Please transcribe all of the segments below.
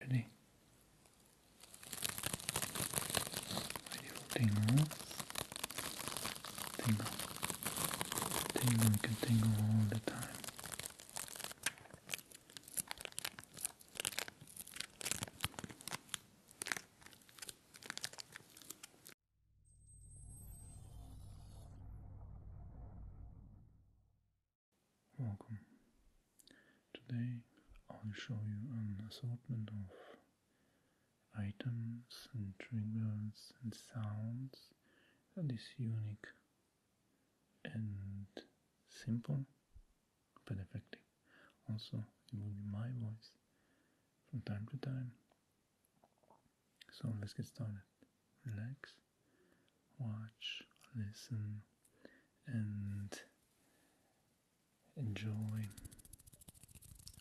Ready? Ready for Tingle. Tingle, tingle all the time. Welcome. Today I'll show you an assortment of items and triggers and sounds that is unique and simple but effective. Also, it will be my voice from time to time. So let's get started. Relax, watch, listen and enjoy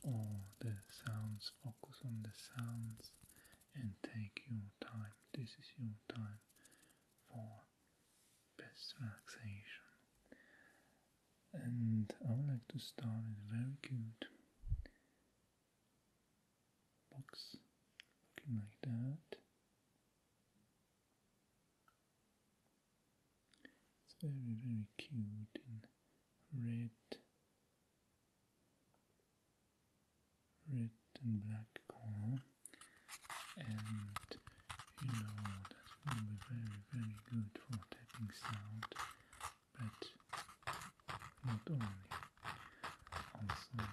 all the sounds, focus on the sounds and take your time. This is your time for best relaxation. And I would like to start with very cute box looking like that. It's very, very cute in red, red and black color, and you know that will be very, very good for tapping sound, but not only, also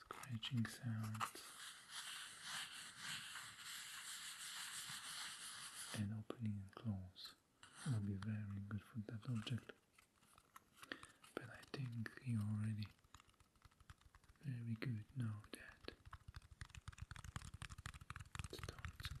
scratching sounds and opening and close will be very good for that object but I think you're already very good now that start some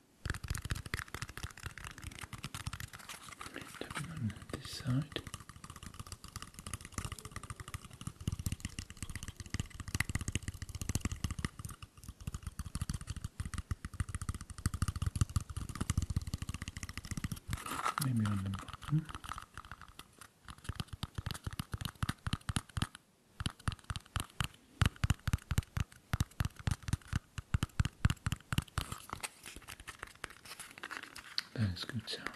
Tapping on this side. Maybe on the bottom. That is good sound.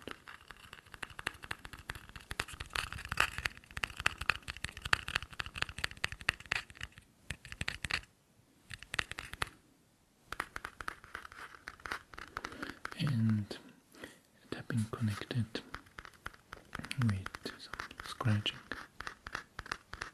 And it connected with some scratching.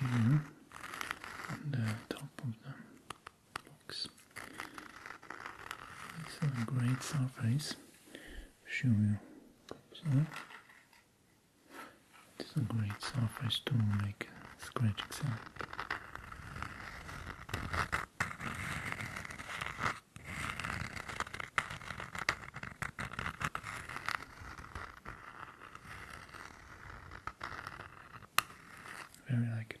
Over here on the uh, top of the box. It's a great surface. Show you it's a great surface to make a scratching sound. Very like it.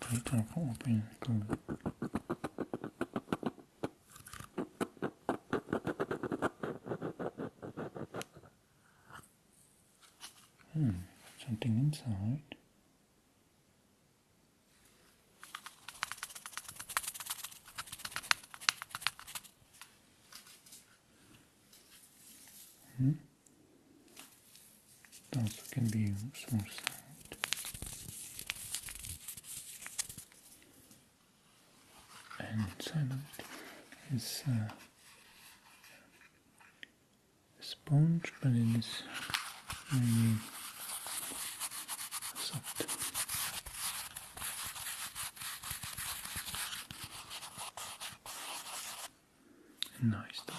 Tighten the whole thing Hmm, something inside. -hmm. It can be used And inside of uh, sponge, but it is very soft. Nice touch.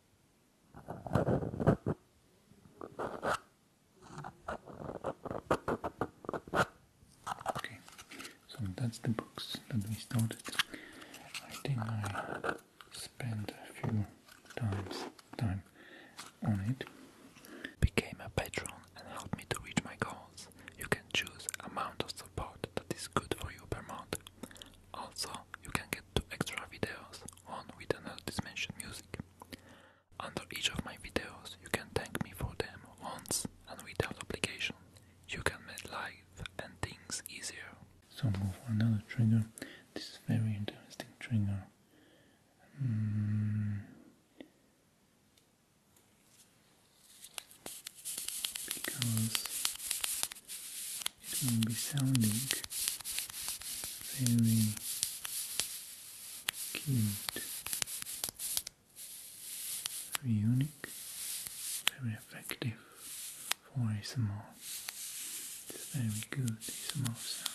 Okay, so that's the books that we started. I think I spent a few times time on it. Became a patron and helped me to reach my goals. You can choose amount of support that is good for you per month also, you can get two extra videos, one with another mentioned music. Under each of my videos, you can thank me for them once and without obligation. You can make life and things easier. So move for another trigger. This is very interesting trigger. Hmm. Because it will be sounding very cute, very unique, very effective for ASMR. It's very good ASMR sound.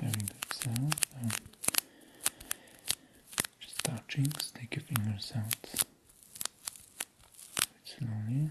Clearing that sound uh, and just touching, stick your fingers out slowly.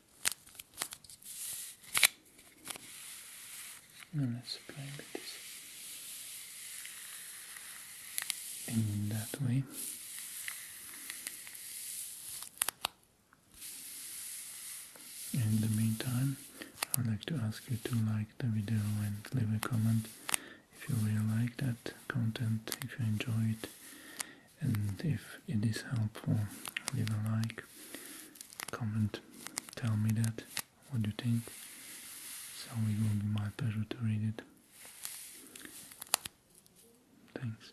let's play this in that way. In the meantime, I would like to ask you to like the video and leave a comment if you really like that content, if you enjoy it, and if it is helpful leave a like comment tell me that what you think so it will be my pleasure to read it thanks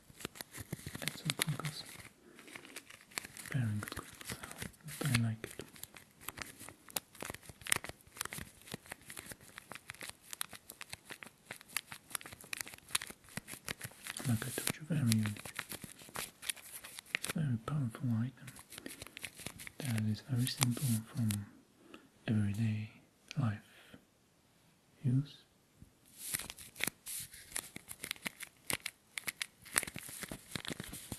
and some conkers. Very good I like it. Like I told you, very very powerful item that is very simple from everyday life use.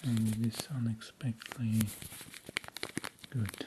And it is unexpectedly good.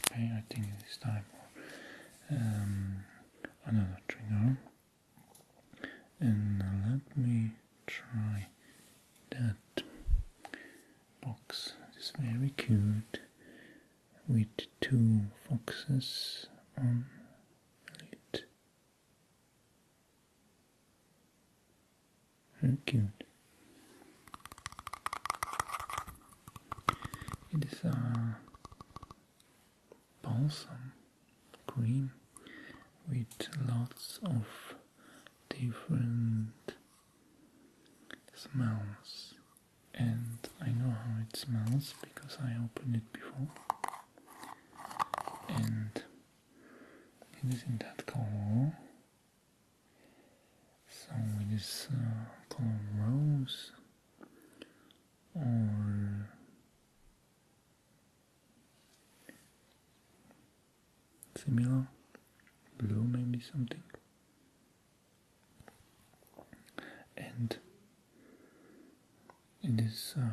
Okay, I think it is time um, another trigger, and let me try that box. It's very cute with two foxes on it. Very It is a uh, balsam cream with lots of different smells and I know how it smells because I opened it before and it is in that color so it is uh, color rose or similar blue maybe something and it is a uh,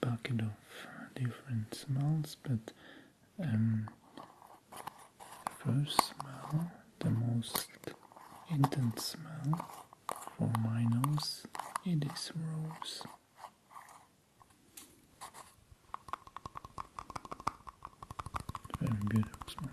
bucket of different smells, but um, first smell, the most intense smell for my nose, it is rose. Very beautiful smell.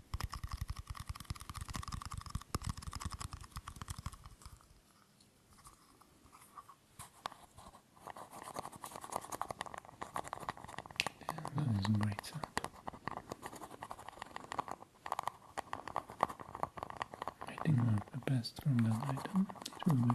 Yeah, that is great sound. I think one of the best from that item. It will be.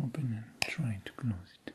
Open and try to close it.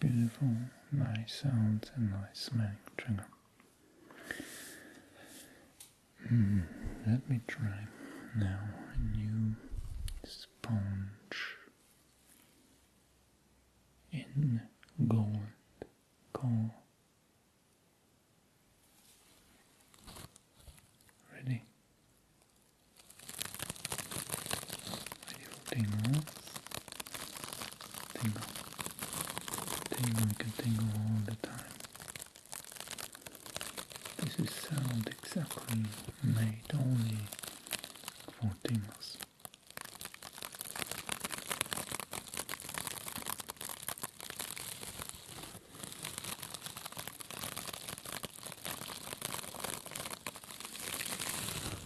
Beautiful, nice sounds and nice smelling trigger. Hmm, let me try now a new sponge in gold coal. Ready? Ready for tingles? Tingle. Tingle, you can tingle all the time. This is sound exactly made only for tingles.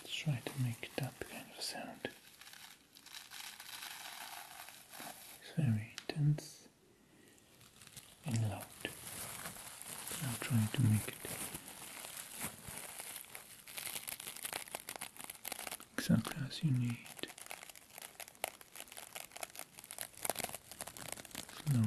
Let's try to make that kind of sound. It's very intense and loud. I'll try to make it exactly as you need. Slowly.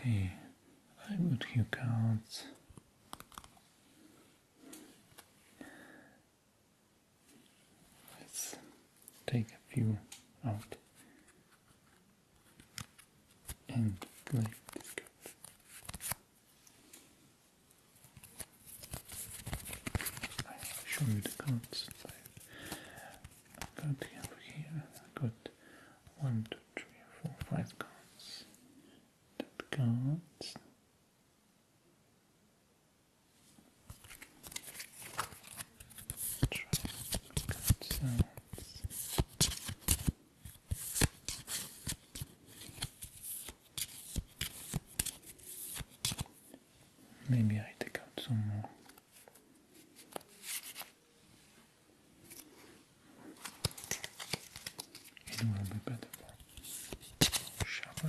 Okay, I would few cards. Let's take a few out and play i show you the cards. i got here, I got one, two, three, four, five cards. Tap cards. Try card Maybe I take out some more. It will be better for sharper.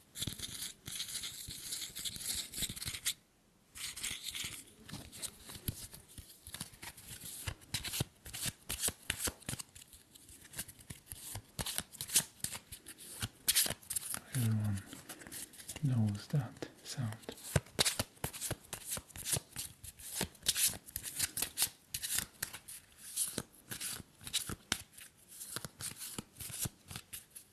Everyone knows that sound.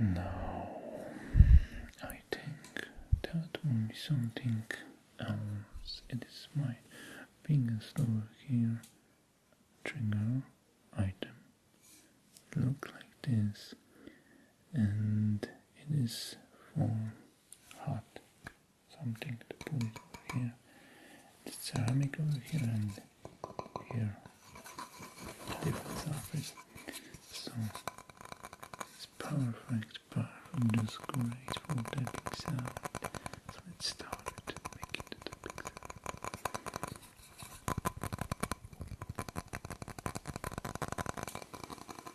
Now, I think that will something else. It is my biggest over here trigger item. Look like this and it is for hot something to put over here. It's ceramic over here and here different surface. So it's perfect. But it's powerful, just great for that So let's start to make it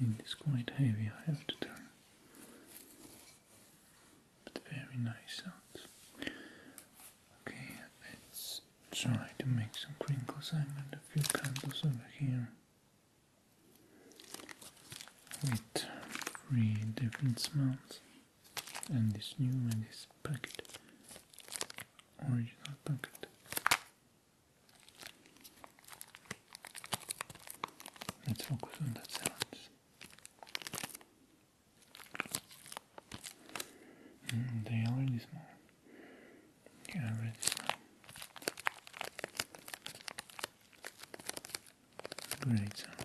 It is quite heavy, I have to turn, you. But very nice sounds. Okay, let's try to make some crinkles. I made a few candles over here with three different smells and this new and this packet original pocket. Let's focus on the silence. Mm, they already small. Yeah, already small. Great sounding.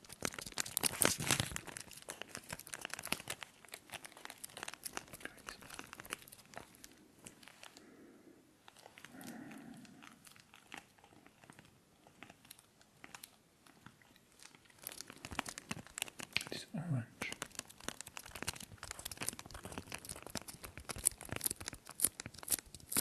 It's orange.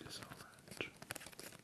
This orange.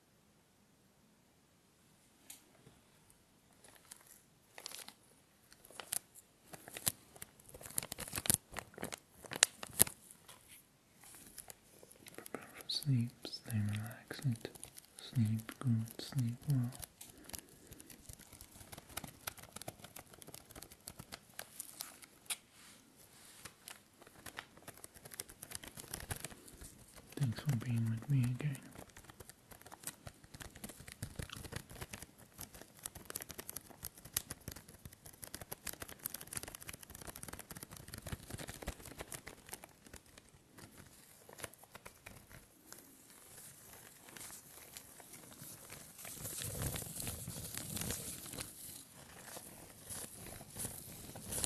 Prepare for sleep, stay relaxed, sleep good, sleep well. Thanks for being with me again.